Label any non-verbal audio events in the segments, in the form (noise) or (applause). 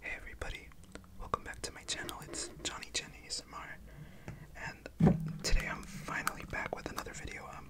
Hey everybody, welcome back to my channel. It's Johnny Chen ASMR, and today I'm finally back with another video. Um,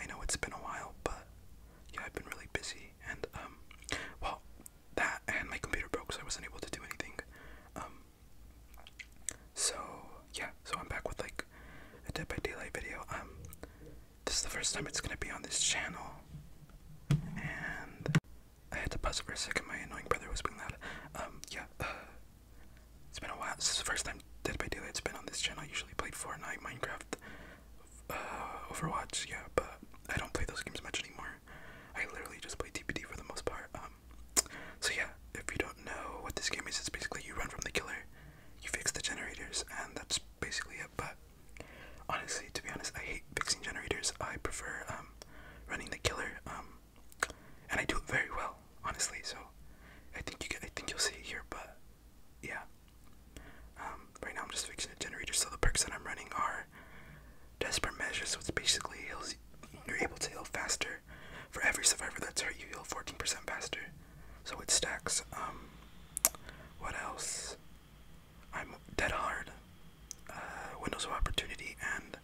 I know it's been a while, but yeah, I've been really busy, and um, well, that and my computer broke, so I wasn't able to do anything. Um, so yeah, so I'm back with like a Dead by Daylight video. Um, this is the first time it's gonna be on this channel. And I had to pause for a second, my annoying brother was being loud. Um, yeah, uh, it's been a while. This is the first time Dead by Daylight's been on this channel. I usually played Fortnite, Minecraft, uh, Overwatch, yeah, but I don't play those games much anymore. I literally just play DPD for the most part. Um, so yeah, if you don't know what this game is, it's basically you run from the killer you fix the generators, and that's basically it. But honestly, to be honest, I hate fixing generators. I prefer um, running the killer, um, and I do it very well, honestly. So I think you get, I think you'll see it here. But yeah, um, right now I'm just fixing the generators. So the perks that I'm running are desperate measures, so it's basically heals. You're able to heal faster. For every survivor that's hurt, you heal 14% faster so it stacks. Um, what else? I'm Dead Hard, uh, Windows of Opportunity, and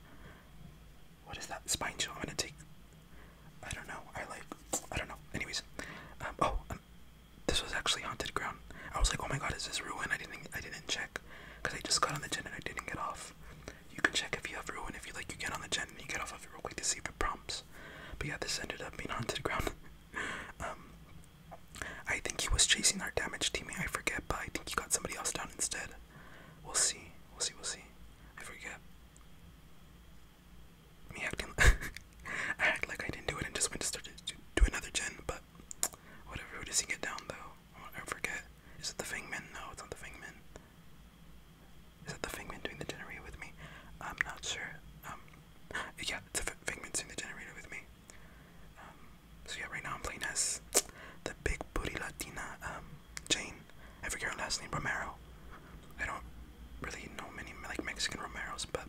what is that? Spine Chill. I'm gonna take. I don't know. I like. I don't know. Anyways, um, oh, um, this was actually haunted ground. I was like, oh my god, is this ruin? I didn't. I didn't check because I just got on the gen and I didn't get off. You can check if you have ruin. If you like, you get on the gen and you get off of it real quick to see if it prompts. But yeah, this ended up being haunted ground. (laughs) Um, I think he was chasing our damage teammate. I forget, but I think he got somebody else down instead. We'll see. We'll see. We'll see. I forget. Me acting, (laughs) I act like I didn't do it and just went to start to do another gen. But whatever. Who does he get down though? I forget. Is it the Fangman? No, it's not the Fangman. Is that the Figment doing the generator with me? I'm not sure. Um, yeah, it's a Figment's doing the generator with me. Um, so yeah, right now I'm playing as the big booty Latina, um, Jane. I forget her last name, Romero. I don't really know many like Mexican Romeros, but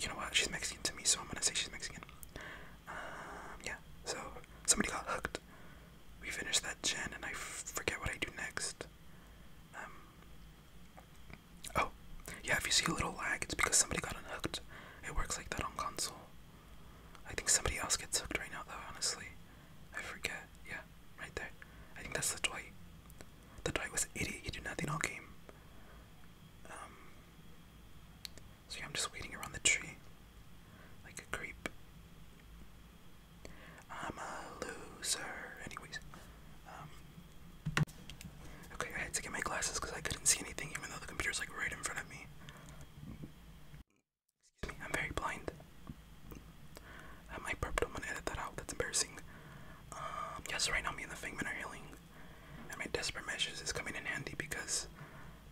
you know what? She's Mexican to me, so I'm gonna say she's Mexican. Um, yeah. So somebody got hooked. We finished that gen, and I forget what I do next. Um, oh, yeah, if you see a little lag, it's because somebody got unhooked. It works like that on console. I think somebody else gets hooked right now, though, honestly. I forget. Yeah, right there. I think that's the toy. The toy was an idiot. He did nothing all game. Um, so yeah, I'm just waiting around the tree. Like a creep. I'm a loser. Anyways, um, okay, I had to get my glasses because I couldn't see anything, even though the computer's like right in front of me. Excuse me, I'm very blind. Um, I burped. I'm gonna edit that out. That's embarrassing. Um, yes, right now me and the Fangman are healing, and my desperate measures is coming in handy because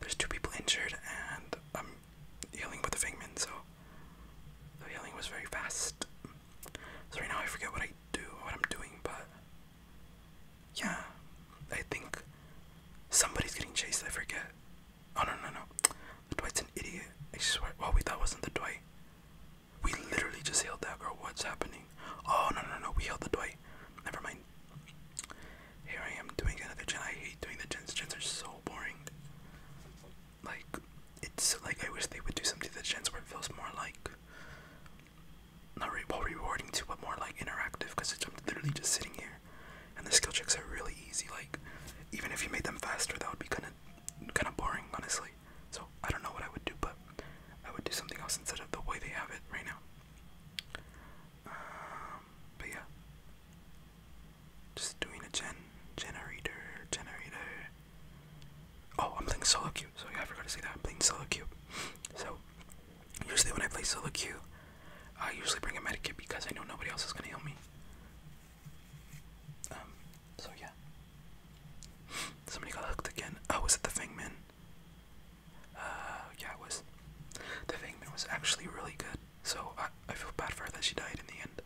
there's two people injured and I'm healing with the Fingman, so the healing was very fast. So right now I forget what I do, what I'm doing, but yeah, I think somebody's getting chased. I forget. Oh no no no, the Dwight's an idiot. I swear. Well, we that wasn't the Dwight. We literally just healed that girl. What's happening? Oh no no no, we healed the Dwight. Never mind here I am doing another gen. I hate doing the gens. Gens are so boring. Like it's like I wish they would do something to the gens where it feels more like not re well rewarding too, but more like interactive. Because it's am literally just sitting here, and the skill checks are really easy. Like even if you made them faster, that would be kind of kind of boring, honestly. So I don't know what I would do, but I would do something else instead of the way they have it right now. Um, but yeah, just doing a gen generator, generator. Oh, I'm playing solo queue. So I forgot to say that. I'm playing solo queue. So usually when I play solo queue, I usually bring a medikit because I know nobody else is gonna heal me. Um, so yeah. Somebody got hooked again. I oh, was at the Fangman? Uh, yeah, it was. The Fangman was actually really good. So I, I feel bad for her that she died in the end.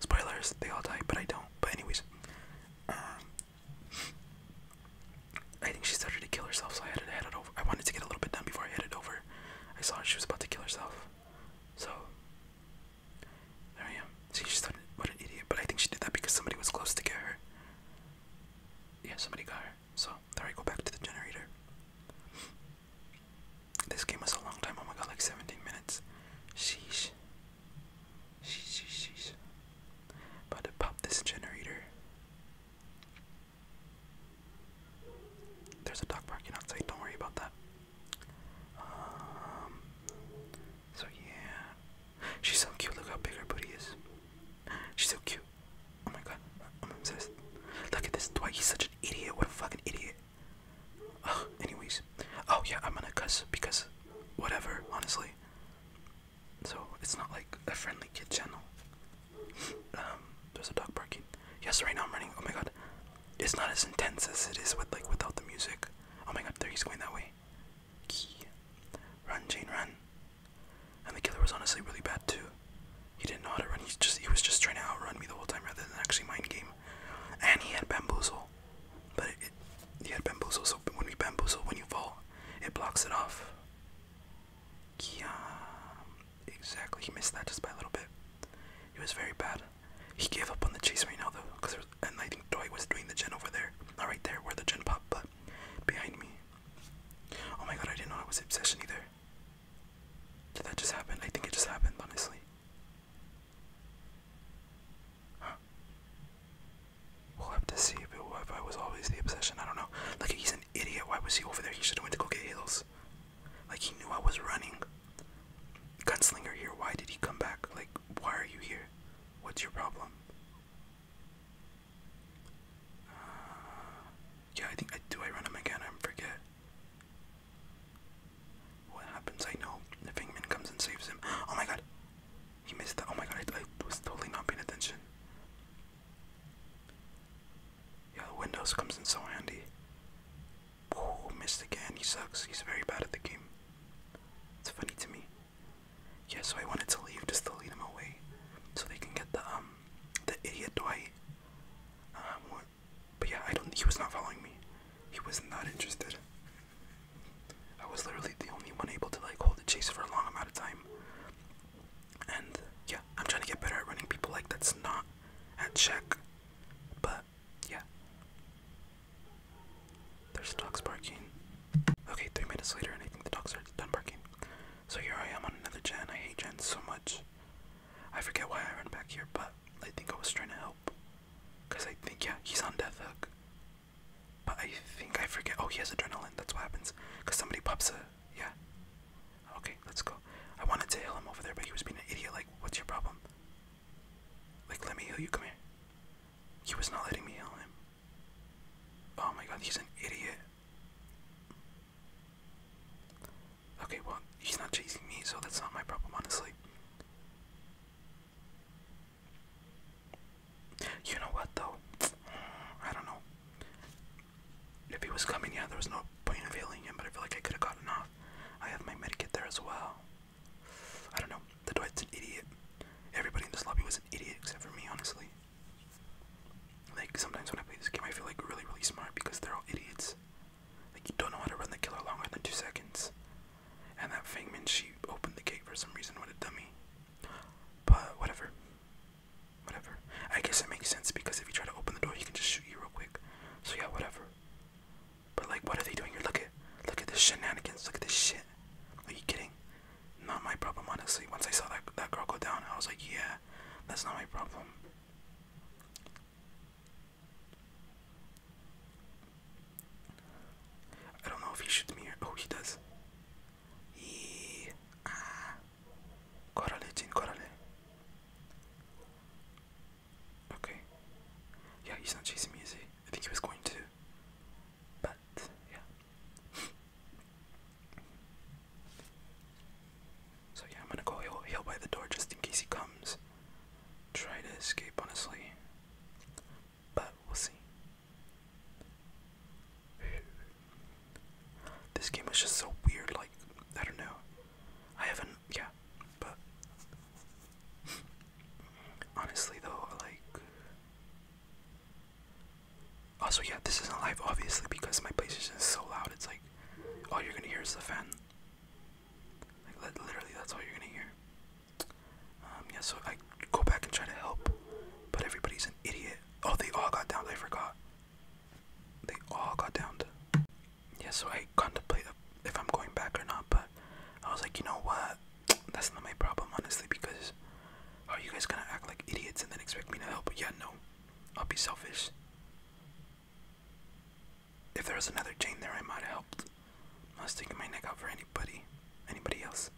Spoilers, they all die, but I don't. But anyways, um, I think she started to kill herself, so I had to head it over. I wanted to get a little bit done before I headed over. I saw she was about to kill herself, so there I am. See, she What an idiot! But I think she did that because somebody was close to get her. Yeah, somebody got her generator. So there I go back to the generator. This game was a long time. Oh my god, like 17 minutes. Sheesh. Sheesh, sheesh, sheesh. About to pop this generator. There's a dog parking outside. Don't worry about that. Um. So yeah, she's so cute. Look how big her booty is. She's so cute. Oh my god, oh, I'm obsessed. Look at this Dwight, he's such an idiot. What a fucking idiot. Ugh, anyways. Oh yeah, I'm gonna cuss because whatever, honestly. So it's not like a friendly kid channel. um, there's a dog barking. Yes, right now I'm running. Oh my god. It's not as intense as it is with like without the music. Oh my god, there he's going that way. Run, Jane, run. And the killer was honestly really bad too. He didn't know how to run. He just he was just trying to outrun me the whole time rather than actually mind game. And he had bamboozle, but he had bamboozle. So when we bamboozle, when you fall, it blocks it off. Yeah, exactly. He missed that just by a little bit. It was very bad. He gave up on the chase right now though, cause and I think Doi was doing the gen over there, not uh, right there where the gen pop, but behind me. Oh my god, I didn't know it was obsession either. Did that just happen? I think it just happened, honestly. We'll have to see if, it, was always the obsession. I don't know. Like, he's an idiot. Why was he over there? He should have went to go get Halos. Like, he knew I was running. Gunslinger here. Why did he come back? Like, why are you here? What's your problem? Uh, yeah, I think I do. I run him again. I forget. What happens? I know the Fingman comes and saves him. Oh my god, he missed that. Oh my god, I, I was totally not paying attention. Yeah, the Windows comes in so handy. Oh, missed again. He sucks. He's very bad at the game. It's funny to me. Yeah, so I wanted to leave just to lead him away, so they can get the um the idiot Dwight. Um, but yeah, I don't. He was not following me. He was not interested. I was literally the only one able to like hold the chase for a long amount of time. And yeah, I'm trying to get better at running people like that's not at check. But yeah. There's dogs barking. Okay, three minutes later, and I think the dogs are done barking. So here I am on another gen. I hate gens so much. I forget why I ran back here, but I think I was trying to help. Because I think, yeah, he's on death hook. But I think I forget. Oh, he has adrenaline. That's what happens. Because somebody pops a. Yeah. Okay, let's go. I wanted to heal him over there, but he was being an idiot. Like, what's your problem? Like, let me heal you. Come here. He was not letting me heal him. Oh my god, he's an idiot. Okay, well, he's not chasing me, so that's not my problem, honestly. You know what, though? (sniffs) I don't know. If he was coming, yeah, there was no point in veiling him, but I feel like I could have gotten off. I have my medkit there as well. I don't know. The Dwight's an idiot. Everybody in this lobby was an idiot except for me, honestly. Like, sometimes when I play this game, I feel like really, really smart because they're all idiots. Like, you don't know how to run the killer longer than two seconds. And that Fangman, she opened the gate for some reason. with a dummy. But, whatever. Whatever. I guess it makes sense because if you try to open the door, he can just shoot you real quick. So, yeah, whatever. But, like, what are they doing here? Look at, look at this shenanigans. Look at this shit. Are you kidding? not my problem, honestly. Once I saw that that girl go down, I was like, yeah, that's not my problem. I don't know if he shoots me oh he does. He ah Corale Jin Corale. Okay. Yeah, he's not chasing me, is he? I think he was going to. But yeah. So yeah, I'm gonna go heal, by the door just in case he comes. Try to escape, honestly. But we'll see. This game was just so weird, like, I don't know. I haven't, yeah, but Honestly, though, like. Also, yeah, this isn't live, obviously, because my place is so loud. It's like all you're gonna hear is the fan. Like literally, that's all you're gonna hear. Um, yeah, so I go back and try to help, but everybody's an idiot. Oh, they all got down. They forgot. They all got downed. Yeah, so I contemplate if I'm going back or not, but I was like, you know what? that's not my problem, honestly, because are oh, you guys gonna act like idiots and then expect me to help? Yeah, no, I'll be selfish. If there was another Jane there, I might have helped. I'm not sticking my neck out for anybody, anybody else.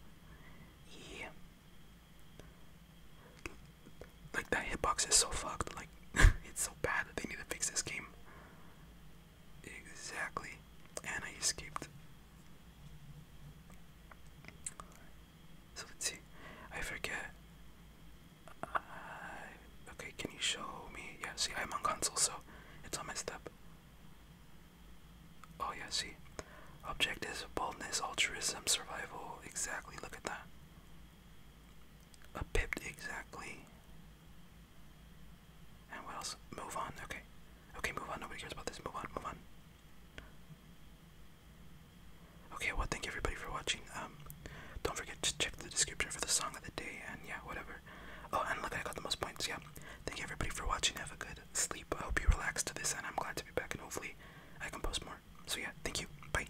Yeah. Like that hitbox is so fucked. Like (laughs) it's so bad they need to fix this game. Exactly. And I escaped. So let's see. I forget. Uh, okay, can you show me? Yeah, see, I'm on console, so it's all messed up. Oh, yeah, see. Object boldness, altruism, survival. Exactly, look at that. A pipped, exactly. And what else? Move on. Okay. Okay, move on. Nobody cares about this. Move on. Move on. Okay, well, thank you everybody for watching. Um, don't forget to check the description for the song of the day and yeah, whatever. Oh, and look, I got the most points. Yeah. Thank you everybody for watching. Have a good sleep. I hope you relaxed to this, and I'm glad to be back. And hopefully, I can post more. So yeah, thank you. Bye.